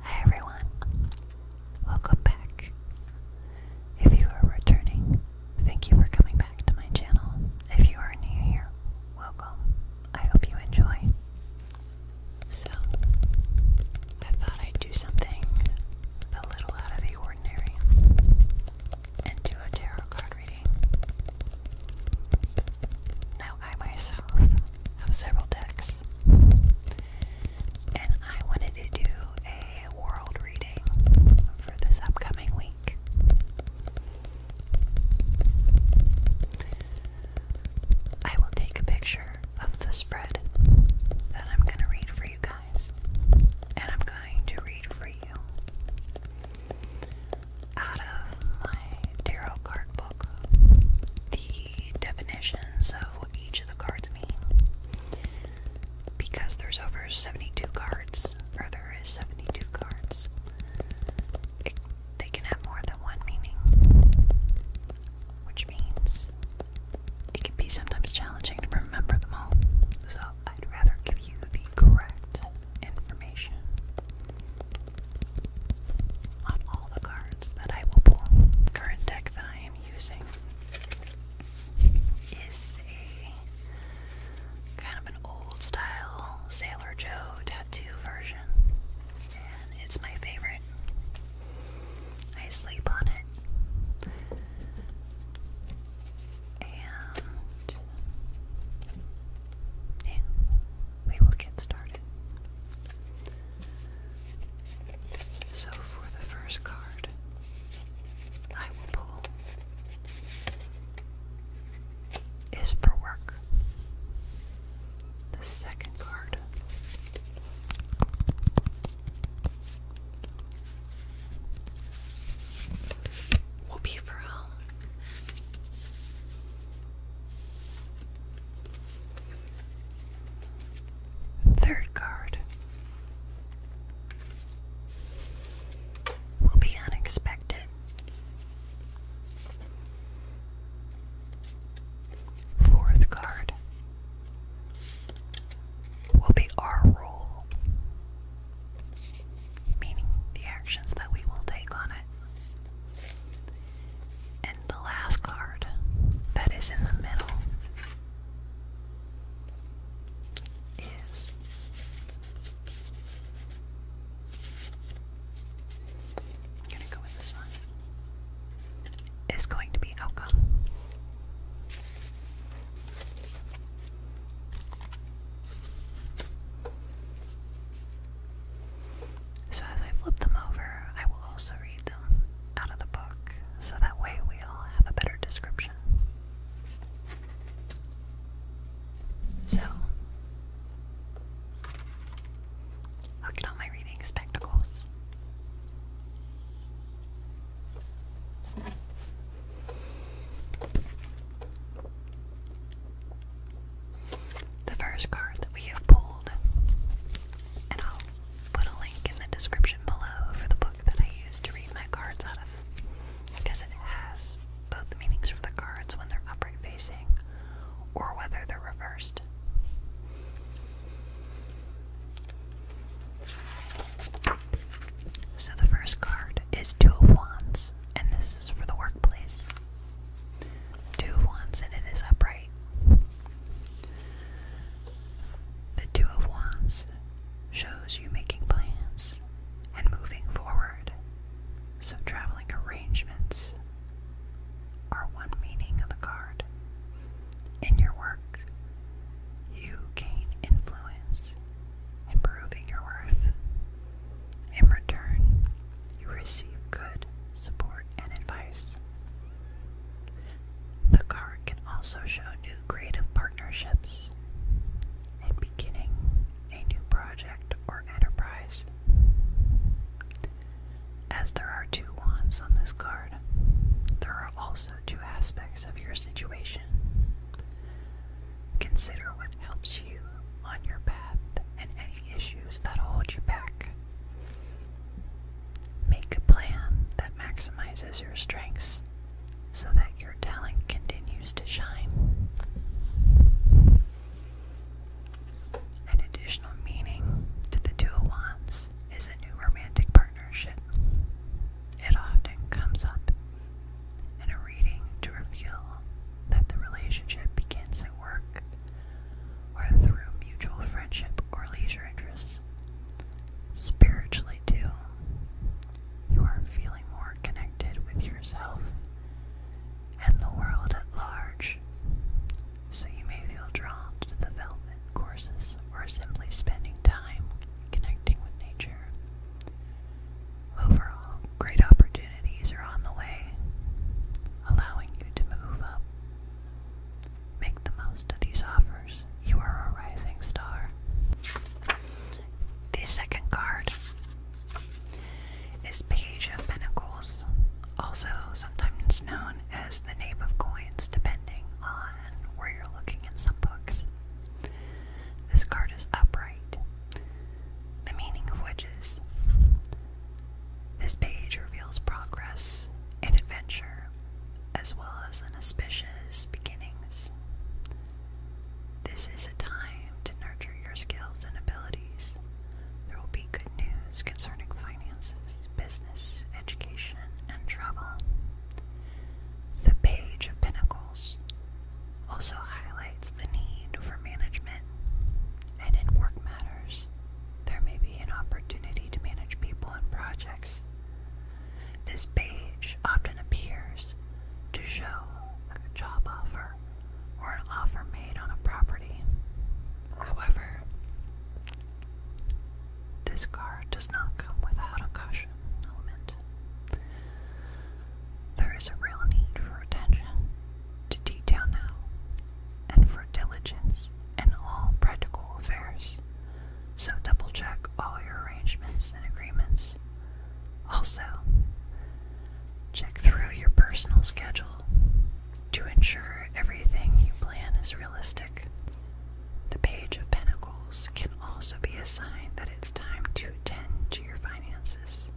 Hi everyone, welcome back. If you are returning, thank you for coming back to my channel. If you are new here, welcome. I hope you enjoy. So, I thought I'd do something a little out of the ordinary and do a tarot card reading. Now, I myself have several decks, and I wanted to do a world reading for this upcoming week. I will take a picture of the spread that I'm going to read for you guys, and I'm going to read for you out of my tarot card book the definitions of what each of the cards mean because there's over 72 cards, there is 72 cards they can have more than one meaning, which means it can be sometimes challenging to remember them all. So I'd rather give you the correct information on all the cards that I will Current deck that I am using is a kind of old style Sailor Joe tattoo version, and it's my favorite. I sleep on it. And yeah, we will get started. So, for the first card, I will pull is for work. The second card will be for home. Third card will be unexpected. Fourth card will be our role, meaning the actions that we will take on it. And the last card that is in the middle is I'm gonna go with this one. Is going to be outcome. So, as I flip them over, I will also read them out of the book so that way we all have a better description. So, I'll get on my reading spectacles. The first card that we have pulled, and I'll put a link in the description below for the book that I use to read my cards out of because it has both meanings for the cards when they're upright facing or whether they're reversed. So the first card is Two of Wands, and this is for the workplace. Two of Wands, and it is upright. The Two of Wands shows you making plans and moving forward. So, traveling arrangements are one meaning of the card. In your work, you gain influence, improving your worth. In return, you receive good support and advice. The card can also show new creative partnerships, and beginning a new project or enterprise. As there are two wands on this card, there are also two aspects of your situation. Consider what helps you on your path and any issues that hold you back. Make a plan that maximizes your strengths so that your talent continues to shine. An additional meaning to the Two Wands is a new romantic partnership. It often comes up in a reading to reveal that the relationship begins at work or through mutual friendship or leisure interests. Spiritually, too, you are feeling more connected with yourself and the world at large. So you may feel drawn to development courses or simply spending time connecting with nature. Overall, great opportunities are on the way, allowing you to move up. Make the most of these offers. You are a rising star. The second card is Page of Pentacles, also sometimes known as the name of coins, depending on where you're looking in some books. This card is upright, the meaning of which is this page reveals progress and adventure as well as an auspicious beginnings. This is a time to nurture your skills and abilities. There will be good news concerning finances, business, education, and travel. The Page of Pentacles also highlights the need for management, and in work matters, there may be an opportunity to manage people and projects. This page often appears to show a job offer or an offer made on a property. However, this card does not come without a caution element. There is a real need for attention to detail now and for diligence in all practical affairs so double check all your arrangements and agreements. Also, check through your personal schedule to ensure everything you plan is realistic. The Page of Pentacles can also be a sign that it's time to attend to your finances.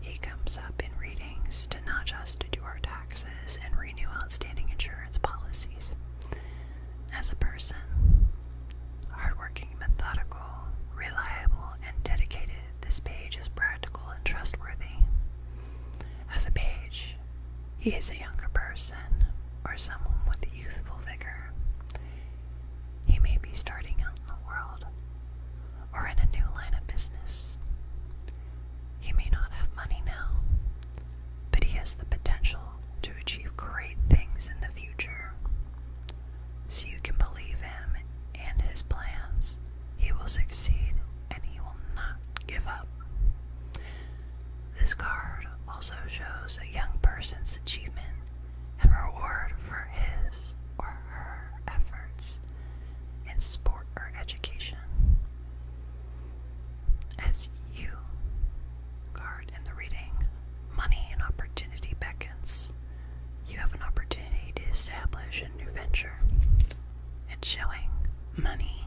He comes up in readings to not just do our taxes taxes, and renew outstanding insurance policies. As a person, hardworking, methodical, reliable, and dedicated, this page is practical and trustworthy. As a page, he is a younger person or someone with a youthful vigor. He may be starting out in the world or in a new line of business. He may not have money now, but he has the potential to achieve great things in the future. So you can believe him and his plans. He will succeed and he will not give up. This card also shows a young person's achievement and reward for his or her efforts in sport or education. As you card in the reading, money and opportunity beckons. You have an opportunity to establish a new venture. It's showing money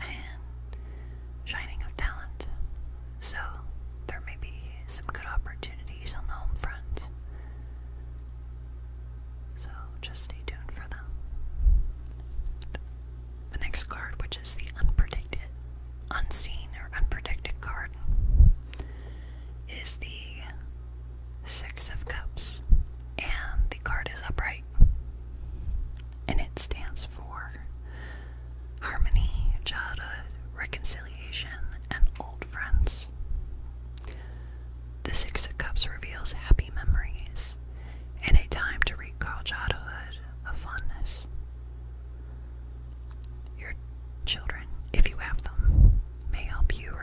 and shining of talent. So there may be some good opportunities on the home front. So just stay tuned for them. The next card, which is the unpredicted, unseen or unpredicted card, is the Six of Cups. And the card is upright. And it stands for harmony, childhood, reconciliation, and old friends. The Six of Cups reveals happy memories and a time to recall childhood fondness. Your children, if you have them, may help you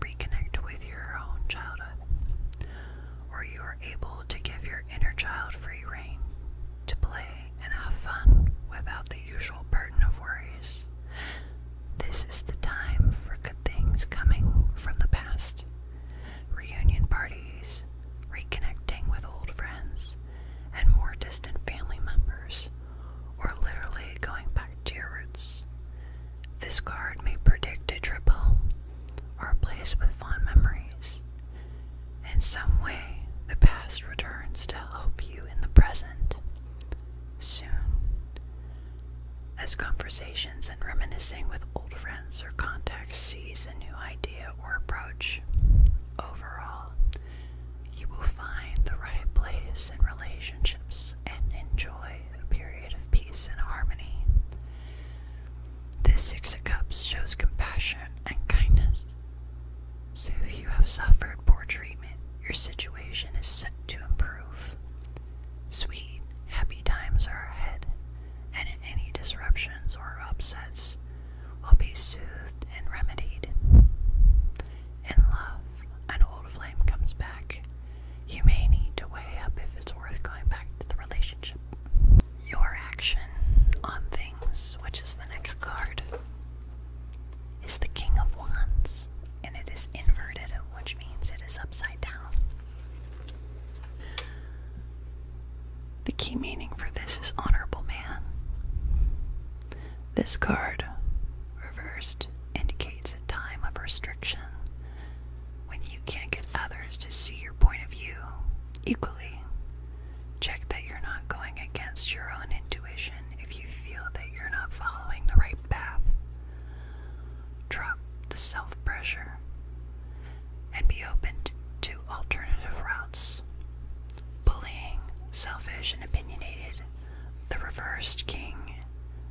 reconnect with your own childhood, or you are able to give your inner child free reign to play and have fun without the usual burden of worries this is the time for good things coming from the past. Reunion parties, reconnecting with old friends and more distant family members, or literally going back to your roots. This card may predict a trip home or a place with fond memories. In some way, the past returns to help you in the present. Soon, as conversations and reminiscing with old friends or contacts sees a new idea or approach, overall, you will find the right place in relationships and enjoy a period of peace and harmony. This Six of Cups shows compassion and kindness. So, if you have suffered poor treatment, your situation is set to improve. Sweet, happy times are ahead, and any disruptions or upsets will be soothed and remedied. In love, an old flame comes back. You may need to weigh up if it's worth going back to the relationship. Your action on things, which is the next card, is the King of Wands, and it is inverted, which means it is upside down. The key meaning for this is honorable man. This card, reversed, indicates a time of restriction when you can't get others to see your point of view equally. Check that you're not going against your own intuition if you feel that you're not following the right path drop the self pressure, and be open to alternative routes. Bullying, selfish, and opinionated, the reversed king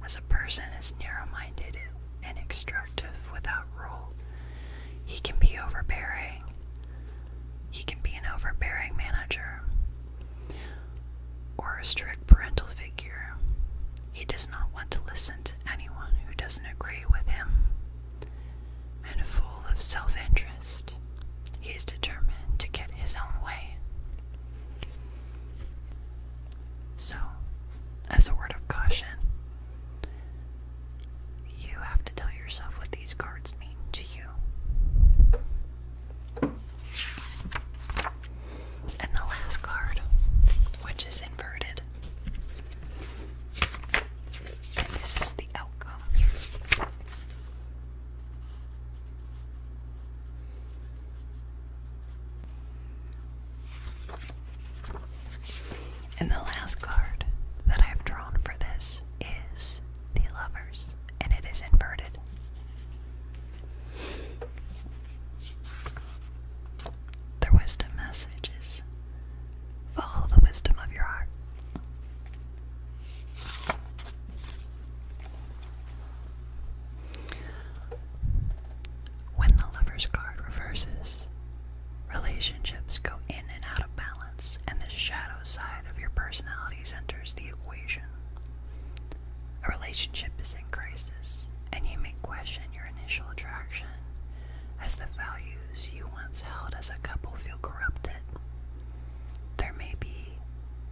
as a person is narrow minded and extractive without rule. He can be overbearing. He can be an overbearing manager or a strict parental figure. He does not want to listen to anyone who doesn't agree with him. And full of self interest, he is determined to get his own way. So, as a word of caution, you have to tell yourself what these cards mean to you. And the last card, which is inverted. And this is the outcome. And the last card that I've drawn for this is the lovers, and it is inverted. The wisdom message is the wisdom of your heart. When the lover's card reverses, relationships go in and out of balance, and the shadow side of your personalities enters the equation. A relationship is in crisis, and you may question your initial attraction as the values you once held as a couple feel corrupted. There may be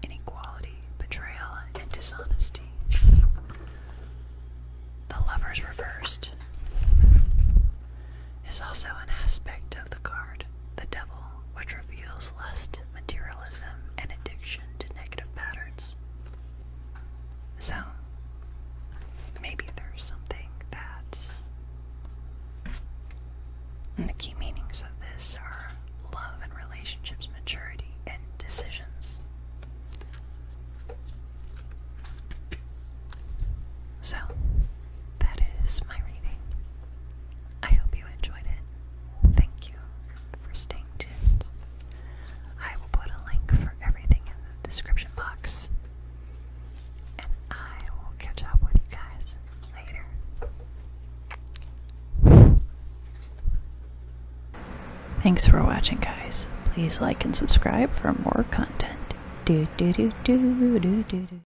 inequality, betrayal, and dishonesty. The lover's reversed is also an aspect of the card the devil, which reveals lust, materialism, and addiction to negative patterns. So, maybe there's something that. And the key meanings of this are love and relationships, maturity, and decisions. So, that is my reading. I hope you enjoyed it. Thank you for staying tuned. I will put a link for everything in the description box. And I will catch up with you guys later. Thanks for watching, guys. Please like and subscribe for more content. Do do do do do do do.